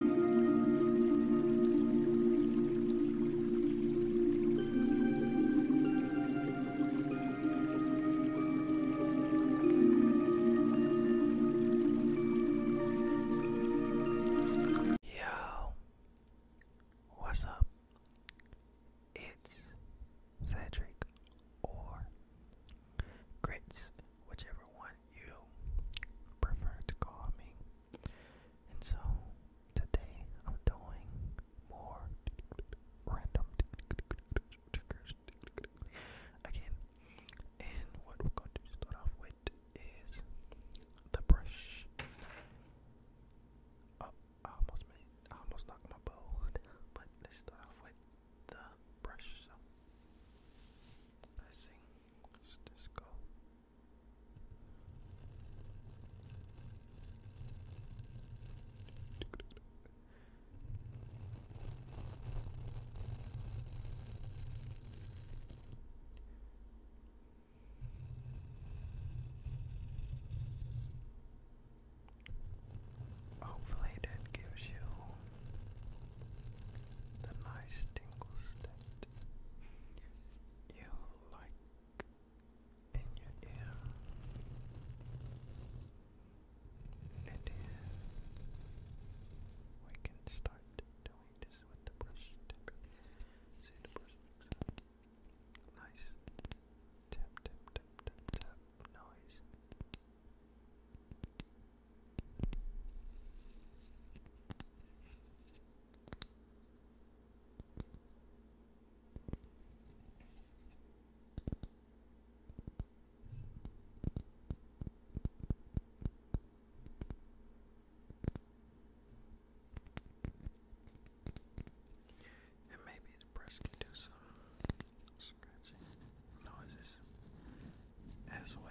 Yo, what's up? It's Cedric or Grits, whichever one you prefer to call me. And so today I'm doing more random triggers again. And what we're going to start off with is the brush. Oh, almost made, almost knocked my bow, but let's start off with the brush. So, let's Let's just Hopefully that gives you the nice tingles that you like in your ear. we can start doing this with the brush tip. See the brush Nice tap tap tap tap tap noise. And maybe his brush can do some scratching noises as well.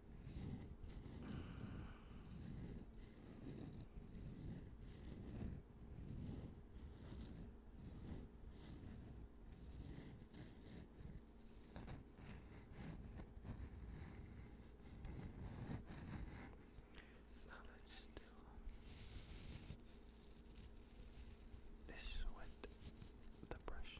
Now let's do this with the brush.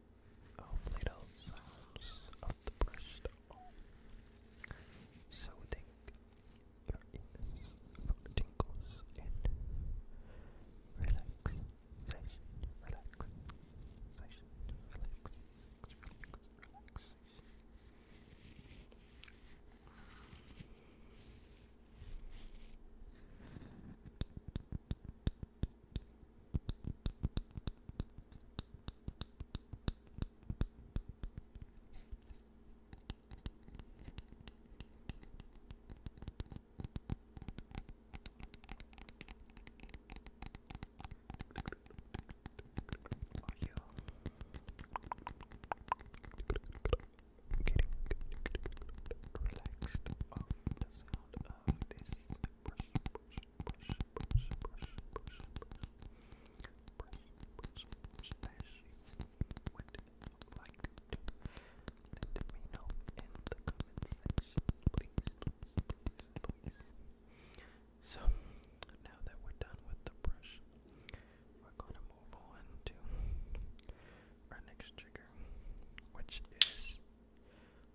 Hopefully it sounds of the breast soothing your ears tingles and relax, relax, relax, relax are you getting relaxed of the sound of this brush, brush, so now that we're done with the brush, we're gonna move on to our next trigger, which is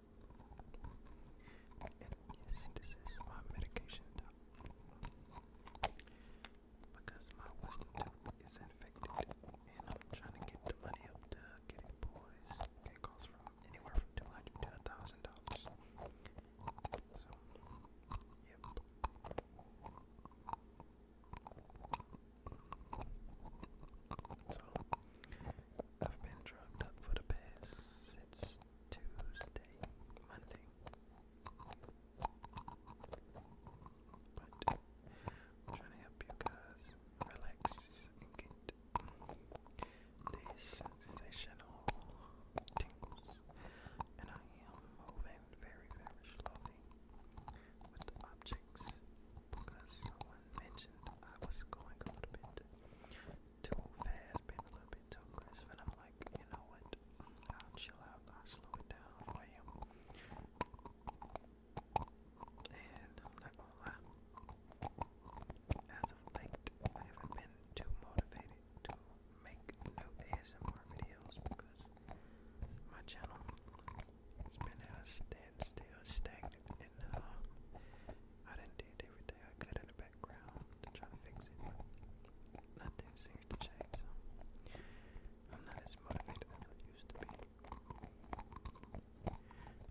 And yes, this is my medication top. Because my wisdom tooth is infected and I'm trying to get the money up to get it pulled. It costs from anywhere from two hundred to a thousand dollars. So yep. So I've been drugged up for the past since Tuesday, Monday. I'm trying to help you guys relax and get these sensational tingles. And I am moving very, very slowly with the objects because someone mentioned I was going a little bit too fast, being a little bit too aggressive, and I'm like, you know what? I'll chill out, I'll slow it down for you. And I'm not going As of late, I haven't been too motivated to make new ASMR videos because my channel has been at a standstill, stag and I didn't did everything I could in the background to try to fix it, nothing seems to change. I'm not as motivated as I used to be.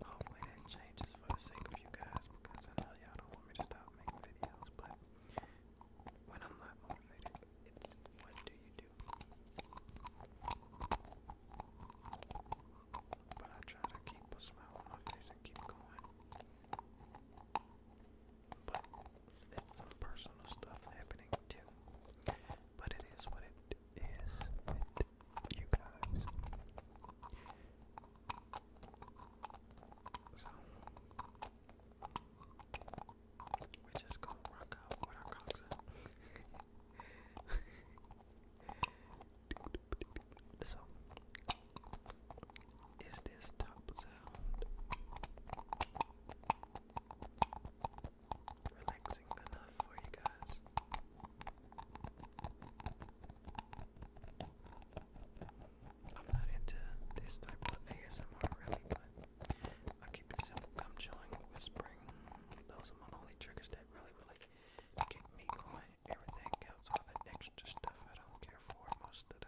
Hopefully that changes for the sake of you guys, because I know y'all don't want me to stop making videos, but when I'm not motivated, it's what do you do? But I try to keep a smile on my face and keep going. But it's some personal stuff happening too. But it is what it is you guys. So we just gonna rock out with our cocks up. So, is this top sound relaxing enough for you guys? I'm not into this type of ASMR really, but I keep it simple. Come chilling, whispering. Those are my only triggers that really, really get me going. Everything else, all that extra stuff, I don't care for most of the,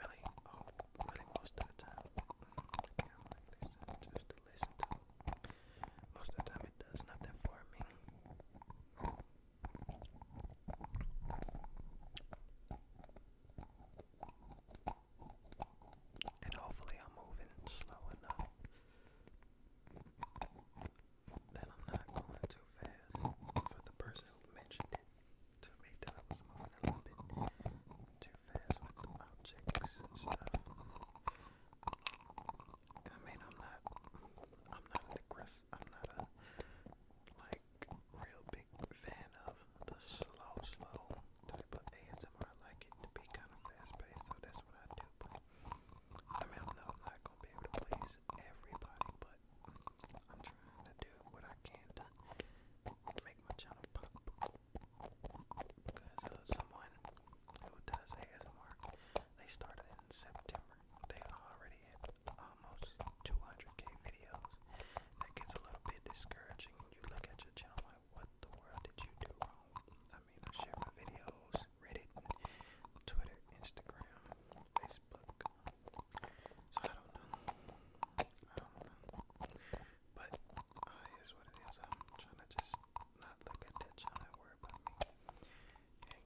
really, oh, really most of the time. Mm, just to listen to. Most of the time it does nothing for me. And hopefully I'm moving slow enough that I'm not going too fast for the person who mentioned it to me that I was moving a little bit too fast with objects and stuff. I mean, I'm not, I'm not an aggressive, I'm not a like real big fan of the slow, slow type of ASMR. I like it to be kind of fast paced, so that's what I do. I mean, I know I'm not gonna be able to please everybody, but I'm trying to do what I can to make my channel pop. Because uh, someone who does ASMR, they started in September. They already had almost 200k videos. That gets a little bit discouraging. You look at your channel like, what the world did you do wrong? I share my videos, Reddit, Twitter, Instagram, Facebook. So I don't know. I don't know. But uh, here's what it is. I'm trying to just not look at that channel and worry about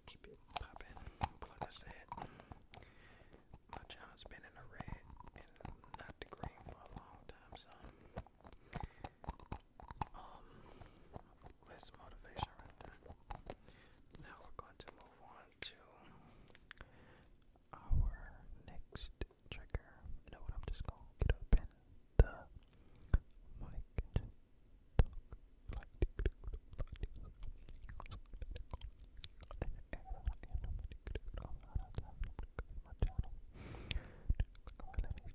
keep it popping. But like I said, my channel's been in the red and not the green for a long time, so um, less motivation right Now we're going to move on to our next trigger. You know what? I'm just gonna get the mic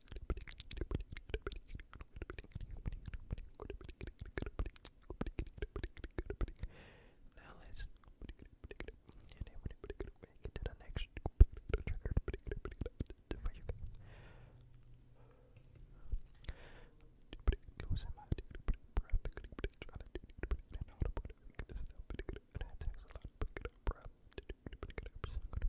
Now let's get to the next trigger for you guys. breath. Try to and how to put it because that takes a lot of breath. So I'm gonna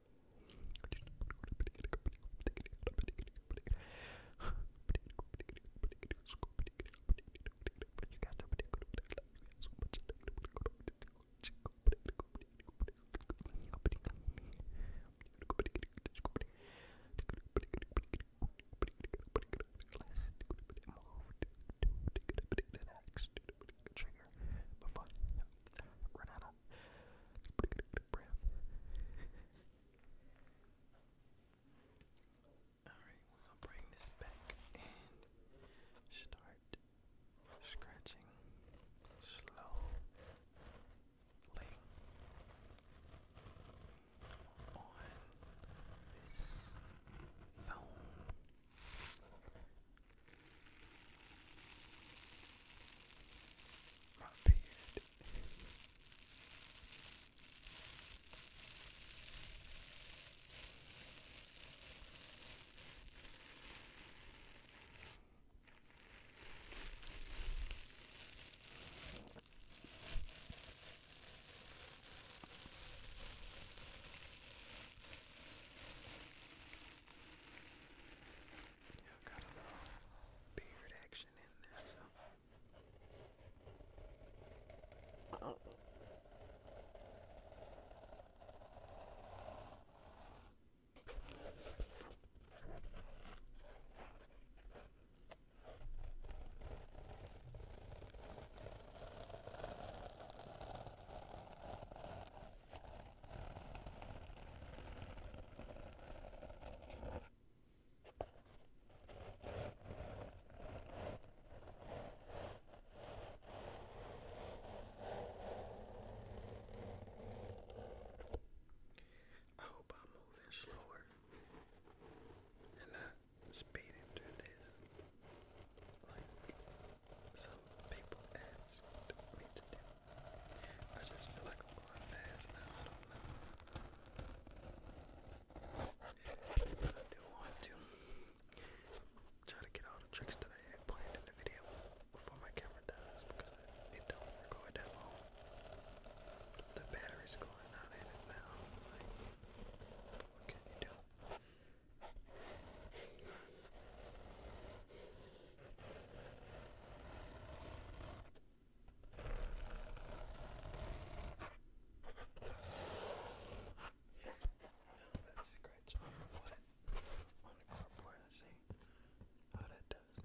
Move to the next trigger before I run out breath. Alright, we're gonna bring this back and start scratching slowly on this phone. My beard. Got a little beard action in there, so. Uh -oh. I hope I'm moving slower and not speeding through this. Like some people asked to do. I just feel like I'm going fast now. I don't know. But I do want to try to get all the tricks that I had planned in the video before my camera dies because it don't record that long. The battery's going out in now. what can you do? Now let's scratch on the wood on the cardboard and see how that does.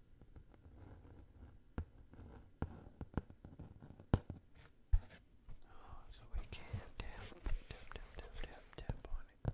Oh, so we can tap, tap, tap, tap, tap, tap on it.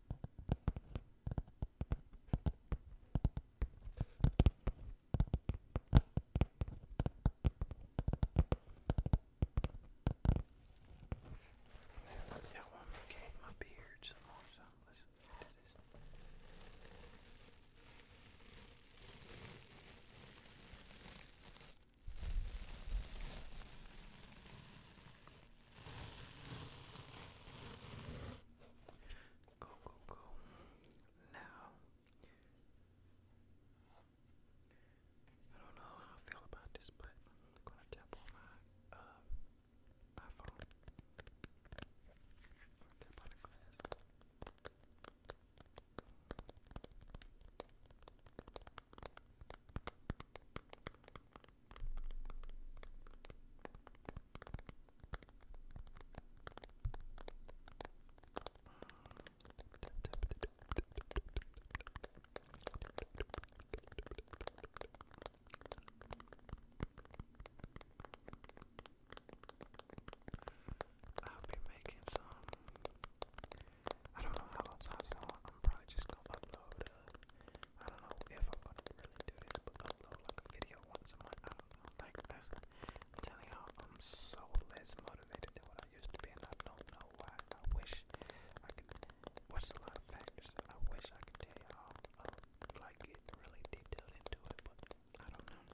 Yeah, I want to gain my beard some more, so let's do this. Go, go, go. Now, I don't know how I feel about this, but I'm gonna tap on my uh, iPhone. I'm gonna tap on the glass. I'll be making some I don't know how long, so I'm probably just gonna upload. Uh, I don't know if I'm gonna really do this, but upload a video once a month. I don't Like that's, I'm telling y'all, I'm so less motivated than what I used to be, I don't know why. I wish I could. What's a lot of factors? I wish I could tell y'all, um, like get really detailed into it, but I don't know.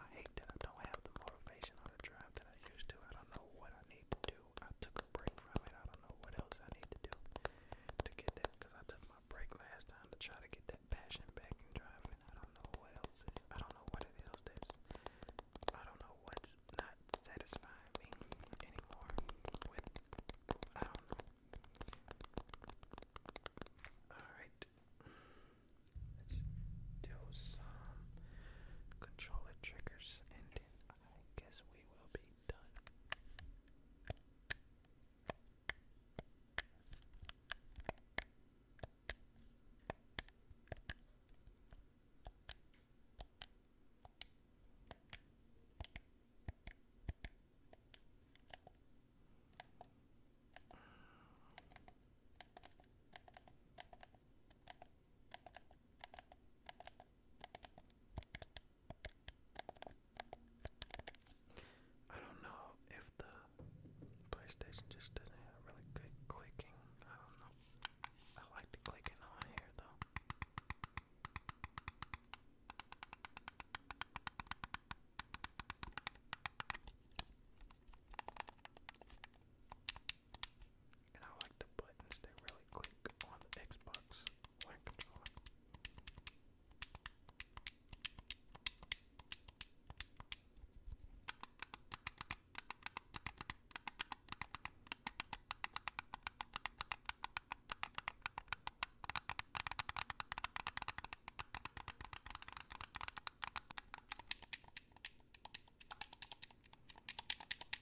I hate that I don't have the motivation or the drive that I used to. I don't know what I need to do. I took a break from it. I don't know what else I need to do to get that because I took my break last time to try to get that passion back in driving. I don't know what else I don't know what it is that's. I don't know what's not satisfying me anymore with. I don't know. Alright. Let's do some controller triggers and I guess we will be done. I don't know if the PlayStation just doesn't have really good clicking. I don't know. I like the clicking on here though. And I like the buttons, they really click on the Xbox One controller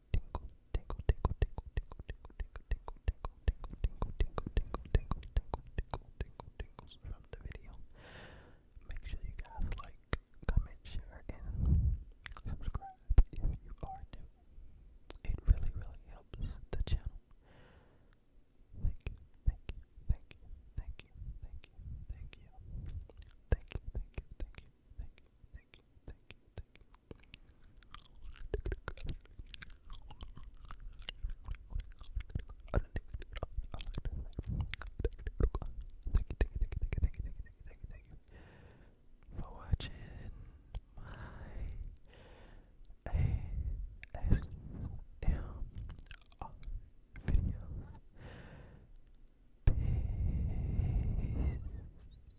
tingles from the video. Make sure you guys like, comment, share, and subscribe if you are new. It really, really helps the channel. thank you, thank you, thank you, thank you, thank you, thank you, thank you, thank you, thank you, thank you, thank you, for watching my ASMR videos. Peace.